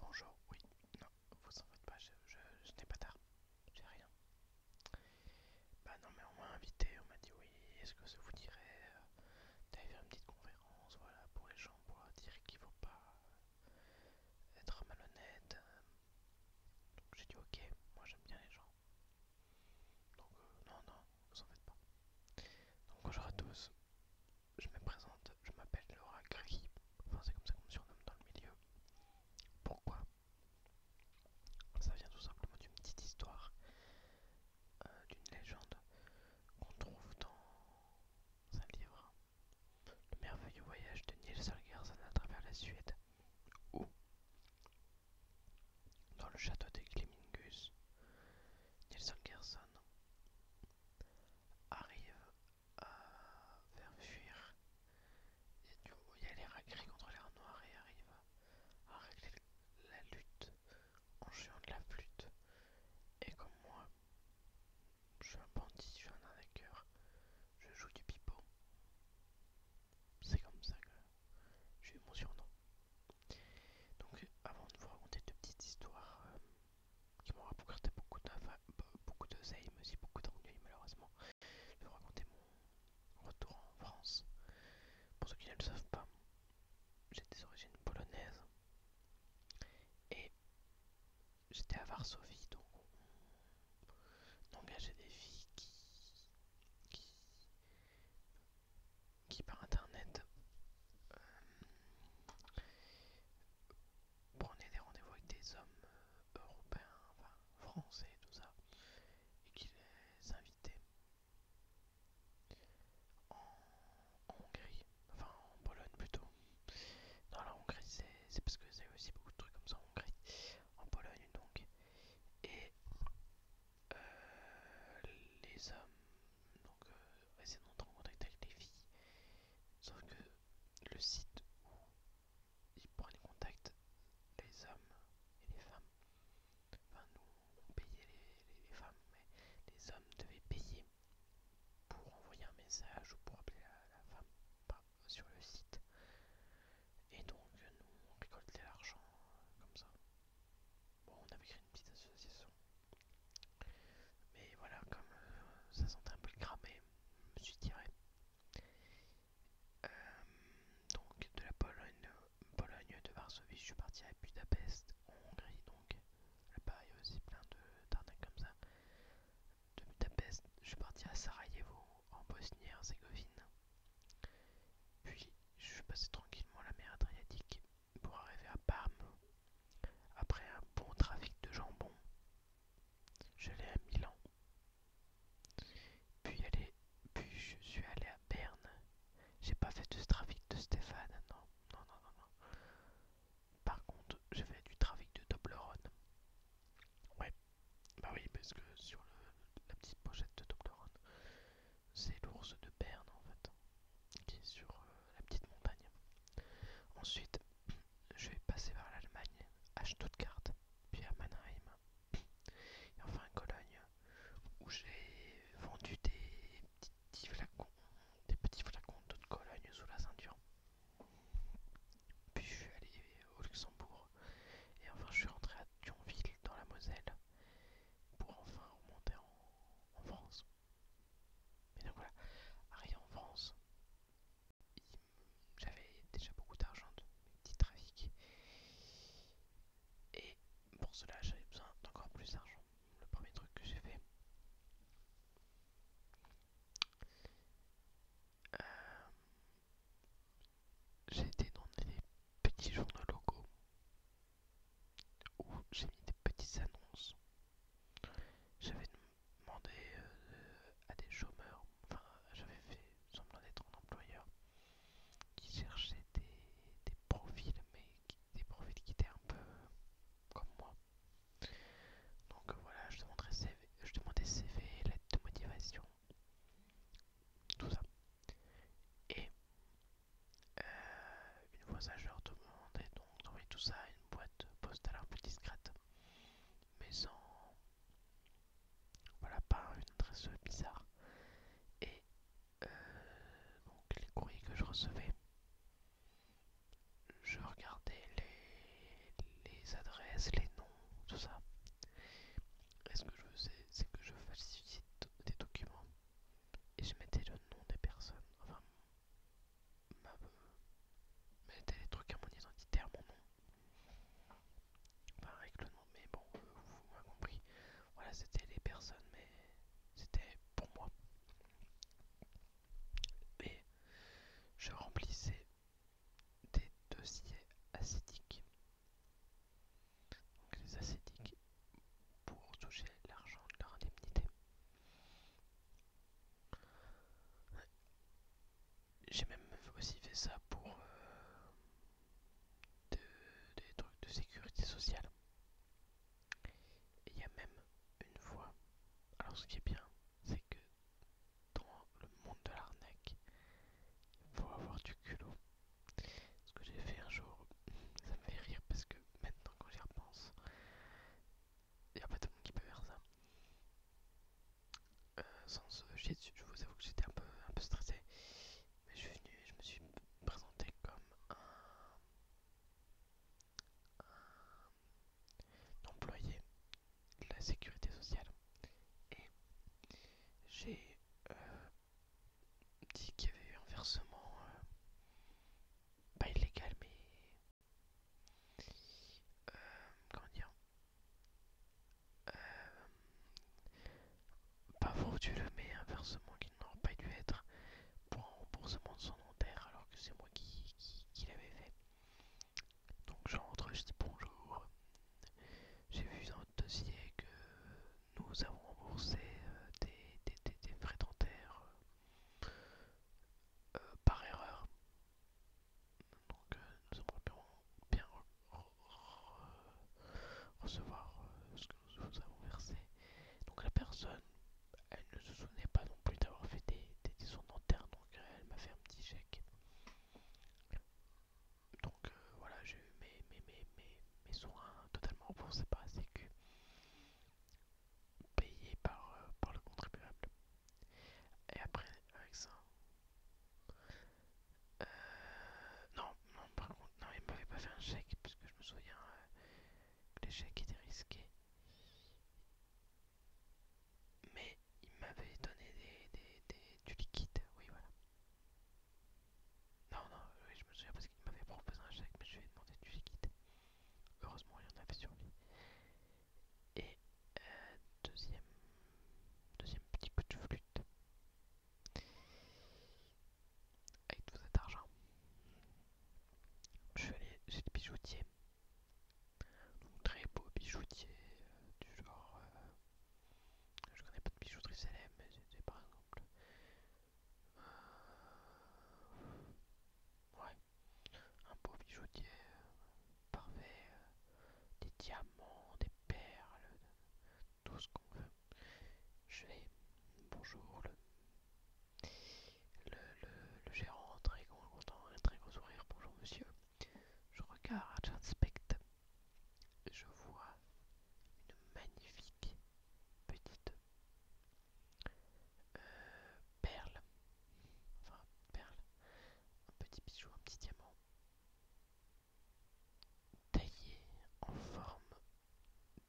Bonjour, oui, non, vous s'en faites pas, je, n'ai pas tard, j'ai rien. Bah non mais on m'a invité, on m'a dit oui, est-ce que ça vous dirait euh, d'aller faire une petite conférence, voilà, pour les gens, pour dire qu'il faut pas euh, être malhonnête. Euh. Donc j'ai dit ok, moi j'aime bien les gens. Donc non, non, vous s'en faites pas. Donc bonjour à tous, je me présente, je m'appelle Laura Gris, enfin c'est comme ça qu'on me surnomme dans le milieu. Pourquoi Ça vient tout simplement d'une petite histoire, euh, d'une légende qu'on trouve dans un livre, Le merveilleux voyage de Nielsen-Gerson à travers la Suède, ou dans le château des Glimmingus, Nielsen-Gerson arrive à faire fuir. Et il y a les contre les noir et arrive à régler la lutte en jouant de la flûte. Et comme moi, je suis un bandit, je suis un arnaqueur, je joue du pipeau. C'est comme ça que j'ai eu mon surnom. Donc, avant de vous raconter deux petites histoires euh, qui m'ont rapporté beaucoup de bah, beaucoup de zay, mais aussi beaucoup d'ennuis malheureusement, je vais vous raconter mon retour en France. Pour ceux qui ne le savent pas, j'ai des origines polonaises et j'étais à Varsovie, donc on des filles qui qui par internet euh, prenait des rendez-vous avec des hommes euh, européens, enfin français, tout ça, et qui les invitait en, Hongrie, enfin en Pologne plutôt. Dans la Hongrie, c'est parce que c'est aussi beaucoup de trucs comme ça en Hongrie, en Pologne donc. Et euh, les hommes donc euh, on essayer en contact avec les filles. Sauf que le site où il prend les contacts, les hommes et les femmes, enfin nous on payait les, les, femmes, mais les hommes devaient payer pour envoyer un message ou pour appeler la, femme sur le site. Et donc nous on récoltait l'argent euh, comme ça. Bon, on avait créé une petite association. Mais voilà, comme euh, ça sentait un peu le cramé, je me suis tiré. Euh, donc de la Pologne, Pologne de Varsovie, je suis parti à Budapest, en Hongrie. Donc là-bas, il y a aussi plein de dardins comme ça. De Budapest, je suis parti à Sarajevo, en Bosnie-Herzégovine. Puis je suis passé tranquillement la mer Adriatique pour arriver à Parme après un bon trafic de jambon. Je l'ai à Milan. Puis, puis je suis allé à Berne. J'ai pas fait de ce trafic de Stéphane, non, non, non, non, non. Par contre, j'ai fait du trafic de Dobleron Ouais, bah oui, parce que sur la petite pochette de Toblerone, c'est l'ours de Berne en fait, qui est sur euh, la petite montagne. Ensuite, je vais passer par l'Allemagne, à Stuttgart, puis à Mannheim, et enfin à Cologne, où j'ai vendu des petits flacons, de Cologne sous la ceinture. Puis je suis allé au Luxembourg, et enfin je suis rentré à Thionville dans la Moselle, pour enfin remonter en, France. Mais donc voilà, arrivé en France, j'avais déjà beaucoup d'argent de mes petits trafics. Et pour cela, j'avais besoin d'encore plus d'argent. Le premier truc que j'ai fait, euh, j'ai été dans des petits journaux locaux où j'ai mis des petites annonces. J'avais demandé euh, à des chômeurs, enfin j'avais fait semblant d'être un employeur qui cherchait des, des profils, mais des profils qui étaient un peu comme moi. Donc euh, voilà, je demandais CV, je CV, lettre de motivation, tout ça. Et euh, une monde et donc d'envoyer tout ça à une boîte postale un peu discrète, mais sans. Voilà, pas une adresse bizarre. Et euh, donc les courriers que je recevais, je regardais les, les adresses, les noms, tout ça. Et ce que je faisais, c'est que je falsifie des documents et je mettais le nom des personnes, enfin, ma, les trucs à mon identitaire, mon nom, enfin avec le nom, mais bon, euh, vous m'avez compris, voilà, c'était les personnes, mais c'était pour moi. Et je remplissais des dossiers acidiques donc les ascétiques pour toucher l'argent de leur indemnité. J'ai même aussi fait ça pour euh, des trucs de sécurité sociale. Et il y a même une fois. Alors ce qui est bien, c'est que dans le monde de l'arnaque, il faut avoir du culot. Ce que j'ai fait un jour, ça me fait rire parce que maintenant quand j'y repense, il n'y a pas tout monde qui peut faire ça. Euh, sans je vous avoue que j'étais un peu, un peu stressé. Mais je suis venu et je me suis présenté comme un, employé de la sécurité sociale. Et j'ai euh, dit qu'il y avait eu un versement euh, pas illégal mais euh, comment dire euh, pas le mais un versement qui n'aurait pas dû être pour un remboursement de son notaire alors que c'est moi qui, l'avais fait donc j'entre, je dis bonjour j'ai vu dans votre dossier que nous avons remboursé euh, des, frais dentaires euh, euh, par erreur. Donc nous aimerions bien recevoir ce que nous avons versé. Donc la personne, elle ne se souvenait pas non plus d'avoir fait des, des, dentaires, donc elle m'a fait un petit chèque donc euh, voilà, j'ai eu mes, mes, mes, mes, soins totalement remboursés par la que payés par, euh, par le contribuable. Et après, avec ça. Euh, non, non, par contre, non, il m'avait pas fait un chèque, puisque je me souviens que les chèques étaient risqués. Mais il m'avait donné des, des, des, du liquide, oui, voilà. Non, non, euh, je me souviens parce qu'il m'avait proposé un chèque, mais je lui ai demandé lui quitter. Heureusement, il en avait sur lui. Et euh, deuxième, deuxième petit coup de flûte. Avec tout cet argent, je suis allé chez le bijoutier. très beau bijoutier, euh, du genre je connais pas de bijouterie célèbre, mais c'est par exemple. Euh, ouais. Un beau bijoutier euh, parfait, euh, des diamants, des perles, tout ce qu'on veut. Je vais. Bonjour, le. Le, le gérant, très content, un très gros sourire. Bonjour monsieur, je regarde, j'inspecte. Je vois une magnifique petite euh, perle. Enfin, perle. Un petit bijou, un petit diamant. Taillé en forme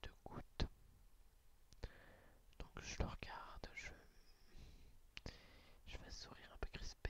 de goutte. Donc je le regarde, je... fais vais sourire un peu crispé.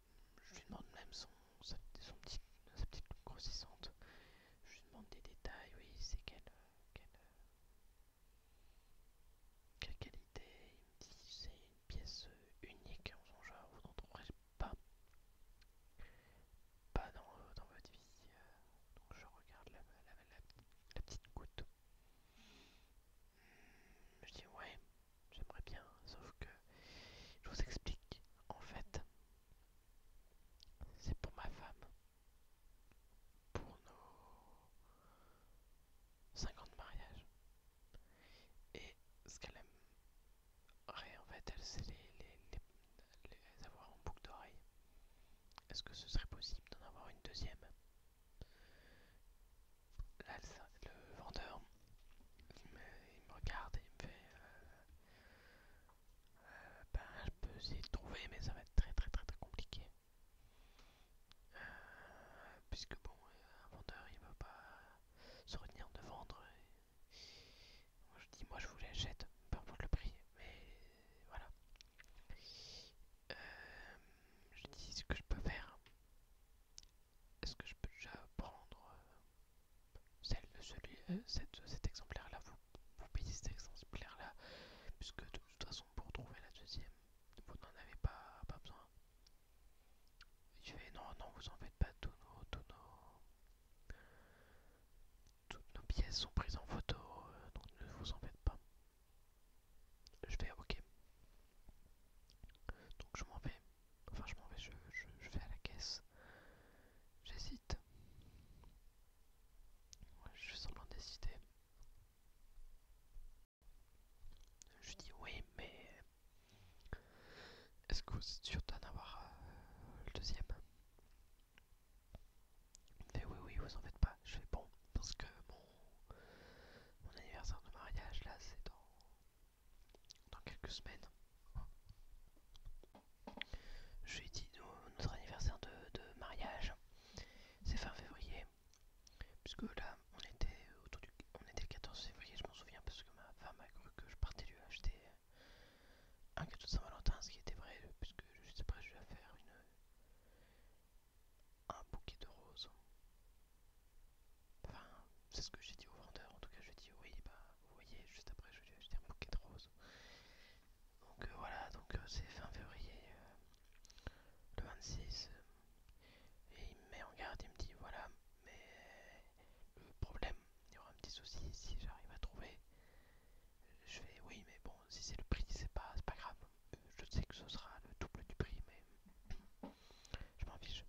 je lui demande même son, sa, petite grossissante. Je lui demande des détails, oui, c'est quelle, quelle, quelle qualité. Il me dit c'est une pièce unique en son genre, vous n'en trouverez pas, pas dans, euh, votre vie. Euh, donc je regarde la petite goutte. Je dis ouais, j'aimerais bien, sauf que je vous explique. En fait, c'est pour ma femme. Pour nos 50 mariages. Et ce qu'elle aimerait, en fait, elle, c'est les, les, avoir en boucle d'oreille. Est-ce que ce serait possible d'en avoir une deuxième le vendeur il me, regarde et il me fait euh, euh, ben, je peux essayer de trouver mais ça va être très très très très compliqué euh, puisque bon un vendeur il va pas se retenir de vendre je dis moi je vous l'achète peu importe le prix mais voilà je dis ce que je peux faire est-ce que je peux déjà prendre euh, celle, celui, euh, cet exemplaire-là vous, payez cet exemplaire-là, puisque de toute façon, pour trouver la deuxième, vous n'en avez pas, pas besoin. Je vais non, non, vous en faites pas, tous nos, toutes nos pièces sont prises en photo, euh, donc ne vous en faites pas. Je vais, OK. Donc je m'en vais. Enfin, je m'en vais, je, je, vais à la caisse. J'hésite. je fais semblant d'hésiter. Je dis oui, mais est-ce que vous êtes sûr d'en avoir euh, le deuxième Mais oui, oui, vous en faites pas. Je fais bon, parce que mon, mon anniversaire de mariage là, c'est dans dans quelques semaines. j'ai dit notre anniversaire de, mariage, c'est fin février, puisque là on était autour du on était le 14 février, je m'en souviens, parce que ma femme a cru que je partais lui acheter un cadeau de Saint-Valentin, ce qui était vrai, puisque sais après je lui ai fait un bouquet de roses Enfin, c'est ce que j'ai dit au vendeur, en tout cas je lui ai dit oui, bah vous voyez, juste après je lui ai acheté un bouquet de roses. Donc euh, voilà, donc euh, c'est fin février, euh, le 26, et il me met en garde, il me dit voilà, mais le problème, il y aura un petit souci, si j'arrive à trouver, je fais oui, mais bon, si c'est le prix, c'est pas, pas grave, je sais que ce sera le double du prix, mais je m'en fiche.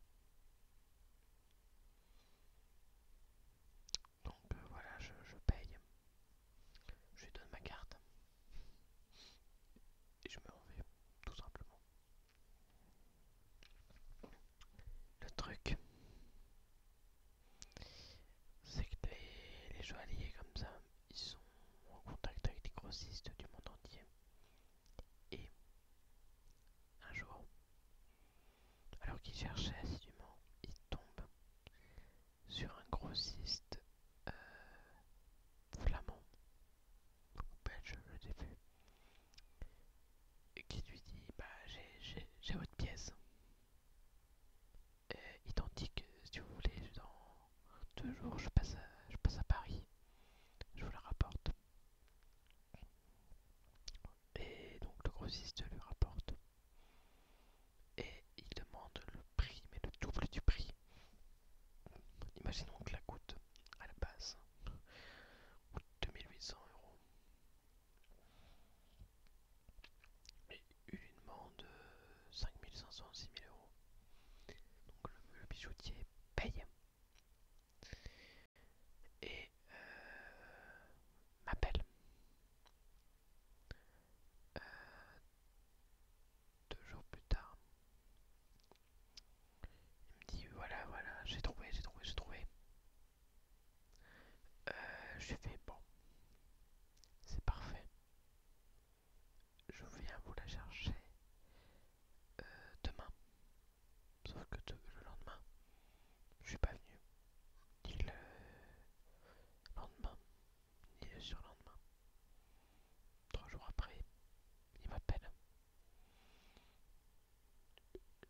Donc euh, voilà, je, paye, je lui donne ma carte et je me vais tout simplement. Le truc, c'est que les joailliers comme ça, ils sont en contact avec des grossistes du monde entier. Et un jour, alors qu'il cherchait assidûment, il tombe sur un grossiste euh, flamand ou belge, je ne sais et qui lui dit Bah, j'ai votre pièce. identique, si vous voulez, dans deux jours je passe je passe à Paris, je vous la rapporte. Et donc le grossiste lui rapporte. Et il demande le prix, mais le double du prix. Imaginons que la coûte à la base coûte 2800 euros. Et il lui demande 5500, euh, 6000 euros. Donc le bijoutier paye et euh, m'appelle euh, deux jours plus tard. Il me dit voilà voilà j'ai trouvé j'ai trouvé j'ai trouvé. Euh, je fais bon c'est parfait. Je viens vous la chercher euh, demain. Sauf que le lendemain, je suis pas venu. Ni le lendemain, ni le surlendemain. Trois jours après, il m'appelle.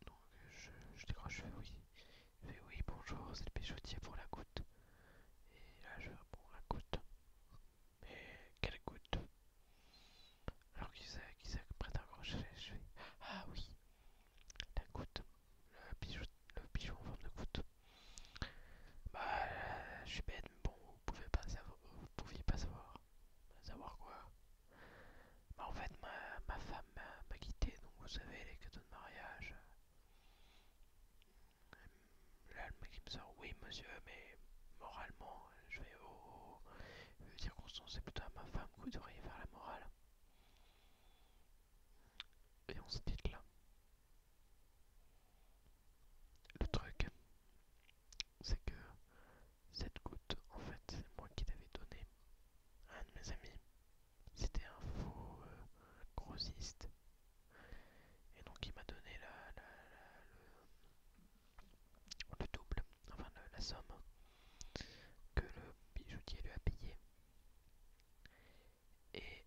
Donc je, décroche, je fais oui. Je fais oui, bonjour, c'est le Péchotier pour la goutte. Et là, je bon, la goutte. Mais quelle goutte Alors qui c'est qui prête un Je fais Ah oui La goutte Le bijou, le en forme de goutte Bah je suis bête mais bon vous pouvez pas savoir vous pouviez pas savoir Savoir quoi Bah en fait ma, ma femme m'a quitté donc vous savez les cadeaux de mariage Là, le mec me sort oui monsieur, mais moralement, je vais dire dire c'est plutôt à ma femme que vous devriez faire la morale. Et on se dit là. Le truc, c'est que cette goutte, en fait, c'est moi qui l'avais donnée à un de mes amis. C'était un faux euh, grossiste. Et donc il m'a donné la, la, le, le double, enfin la somme que le bijoutier lui a payé. Et,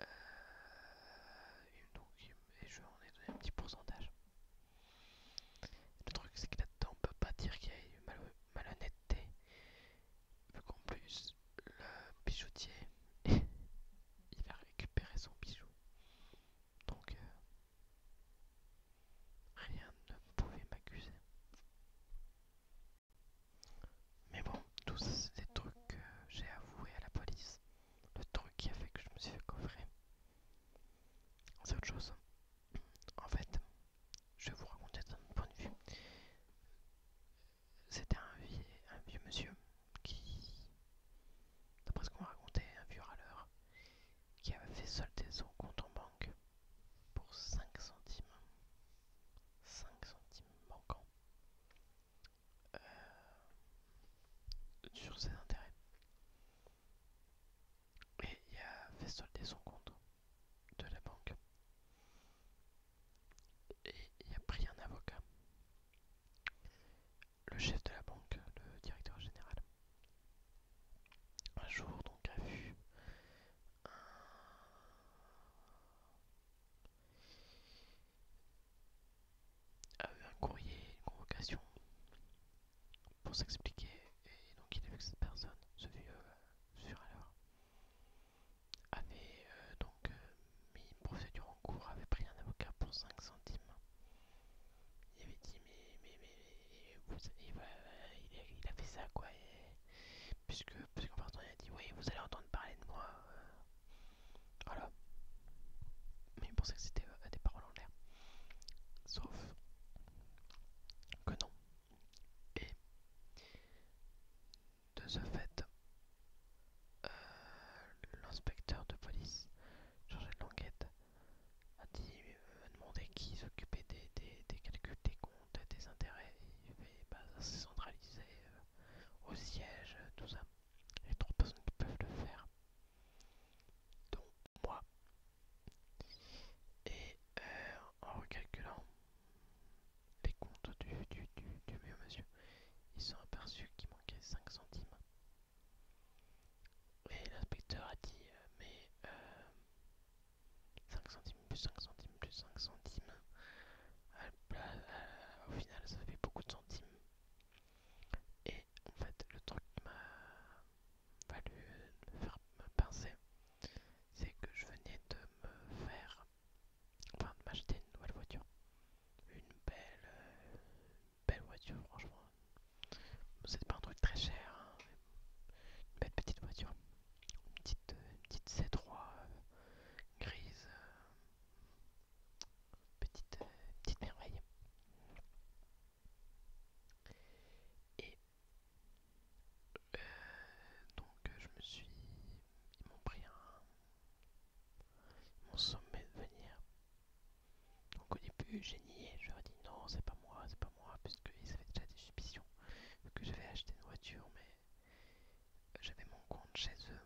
euh, je donc, en ai donné un petit pourcentage. Le truc c'est que là-dedans on peut pas dire qu'il y a eu malhonnêteté, vu qu'en plus le bijoutier il va récupérer son bijou donc euh, rien ne pouvait m'accuser. Mais bon, tous ces trucs que euh, j'ai avoués à la police, le truc qui a fait que je me suis fait coffrer, c'est autre chose. En fait, je vais vous raconter d'un point de vue. C'était un un vieux monsieur qui, d'après ce qu'on raconté, un vieux râleur, qui avait fait solder son compte en banque pour 5 centimes. 5 centimes manquants euh, sur ses intérêts. Et il a fait solder son compte de la banque. Et il a pris un avocat le chef de la banque, le directeur général, un jour donc a vu un... courrier, une convocation pour s'expliquer et donc il a vu que cette personne, ce vieux sur alors avait euh, donc que euh, mes procédure en cours, avait pris un avocat pour 5 centimes. Il avait dit mais mais ben, il, a, fait ça quoi puisque puisqu'en partant il a dit oui vous allez entendre parler de moi euh, voilà mais il pensait que c'était euh, des paroles en l'air sauf que non et de ce fait euh, l'inspecteur de police, de l'enquête a, dit, a euh, demandé qui s'occupait des, calculs des comptes, des intérêts, et s'est bah, centralisé euh, au siège, tout ça. Il y a trois personnes qui peuvent le faire, dont moi. Et en recalculant les comptes du, monsieur, ils sont aperçus m'ont 5 centimes. Et l'inspecteur a dit euh, mais 5 euh, centimes plus 5 centimes plus 5 centimes. au final ça fait beaucoup de centimes. Et en fait le truc qui m'a valu me faire me pincer, c'est que je venais de me faire enfin de m'acheter une nouvelle voiture une belle, euh, belle voiture, franchement. C'est pas un truc très cher, hein, une belle petite voiture, une petite, euh, petite C3 euh, grise, petite, petite merveille. Et donc je me suis, ils m'ont pris un, mon sommet de venir. Donc au début, j'ai nié. Je leur ai dit non, c'est pas moi, c'est pas moi, puisqu'ils avaient déjà des suspicions que j'avais acheté une voiture, mais j'avais mon compte chez eux.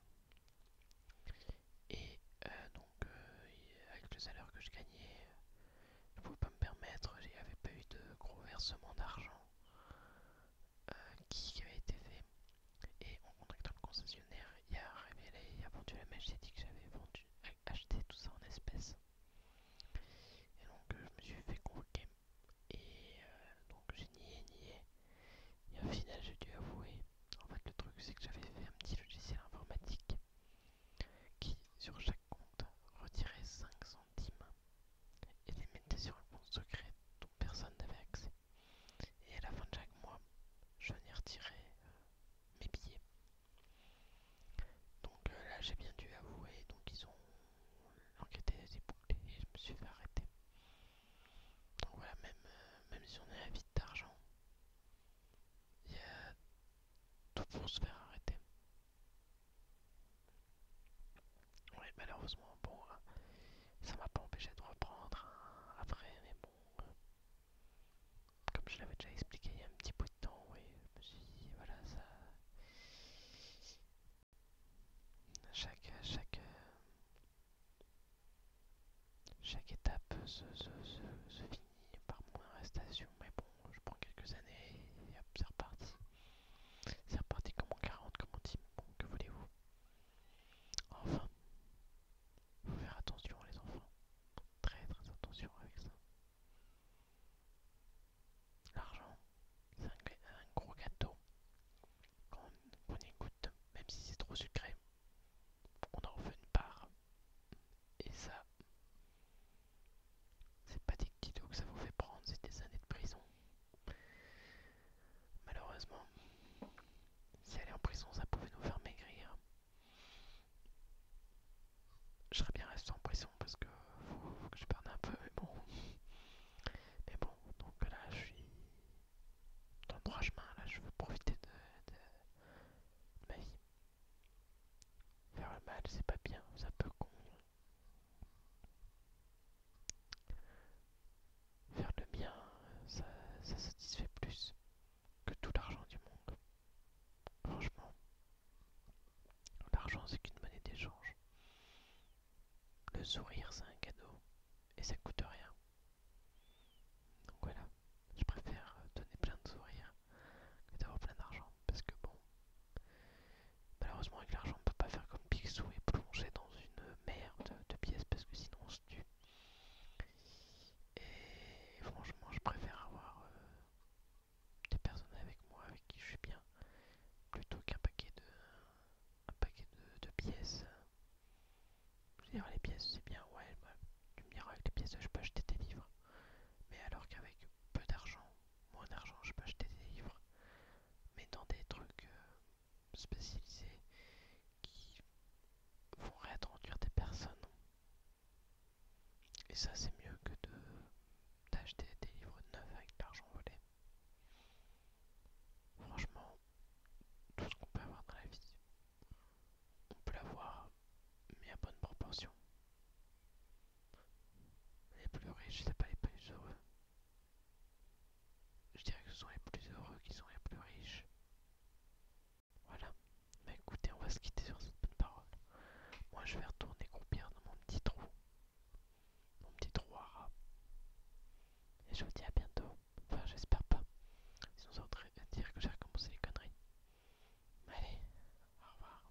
Et euh, donc, euh, avec le salaire que je gagnais, je pouvais pas me permettre, j'avais pas eu de gros versements d'argent. Euh, qui, avait été fait. Et en contactant le concessionnaire, il a révélé, il a vendu la mèche, il dit que j'avais vendu, acheté tout ça en espèces. Et donc euh, je me suis fait convoquer. Et euh, donc j'ai nié, nié. Et au final j'ai dû avouer. En fait le truc c'est que j'avais fait un petit logiciel informatique qui sur chaque compte retirait 5 centimes et les mettait sur le compte secret dont personne n'avait accès. Et à la fin de chaque mois, je venais retirer euh, mes billets. Donc euh, là, j'ai bien dû avouer, donc ils ont l'enquête des bouclée et je me suis fait arrêter. Donc voilà, même, euh, même si on est à vide d'argent, il y a tout pour se faire arrêter. Oui, malheureusement, bon, euh, ça m'a pas empêché de reprendre hein, après, mais bon, euh, comme je l'avais déjà expliqué il y a un petit bout de temps, oui, je me suis dit, voilà, ça. Chaque, chaque, euh, chaque étape se, se, finit par moins arrestation, mais bon, je prends quelques années et hop, c'est reparti. C'est reparti comme en 40, comme en dit, bon, que voulez-vous Enfin, faut faire attention les enfants. Très très attention avec ça. L'argent, c'est un, gros gâteau qu'on écoute, même si c'est trop sucré. On en fait une part. Et ça, c'est pas des kilos que ça vous fait prendre, c'est des années de prison. Malheureusement, si elle est en prison, ça pouvait nous faire maigrir. Je serais bien resté en prison parce que je perde un peu, mais bon. Mais bon, donc là je suis dans le droit chemin, là je veux profiter de, ma vie. Faire le mal, c'est pas bien, ça peut con Faire le bien, ça, satisfait plus que tout l'argent du monde. Franchement, l'argent c'est qu'une monnaie d'échange. Le sourire c'est un cadeau et ça coûte rien. Donc voilà, je préfère donner plein de sourires que d'avoir plein d'argent parce que bon, Malheureusement, avec l'argent, on ne peut pas faire comme Picsou et plonger dans une merde de, pièces parce que sinon on se tue. Et franchement, je préfère avoir euh, des personnes avec moi avec qui je suis bien plutôt qu'un paquet de un paquet de, pièces. Je dire, les pièces, c'est bien, ouais, bah, tu me diras avec les pièces, je peux acheter des livres. Mais alors qu'avec peu d'argent, moins d'argent, je peux acheter des livres, mais dans des trucs euh, spécialisés qui vont réintroduire des personnes. Et ça, c'est mieux que de d'acheter des livres neufs avec de l'argent volé. Franchement, tout ce qu'on peut avoir dans la vie, on peut l'avoir, mais à bonne proportion. Les plus riches, c'est pas les plus heureux je dirais que ce sont les plus heureux qui sont les plus riches. Voilà. Mais bah, écoutez, on va se quitter sur cette bonne parole. Moi, je vais retourner combien dans mon petit trou. Mon petit trou à Et je vous dis à bientôt. Enfin, j'espère pas. en train de dire que j'ai recommencé les conneries. Allez, au revoir.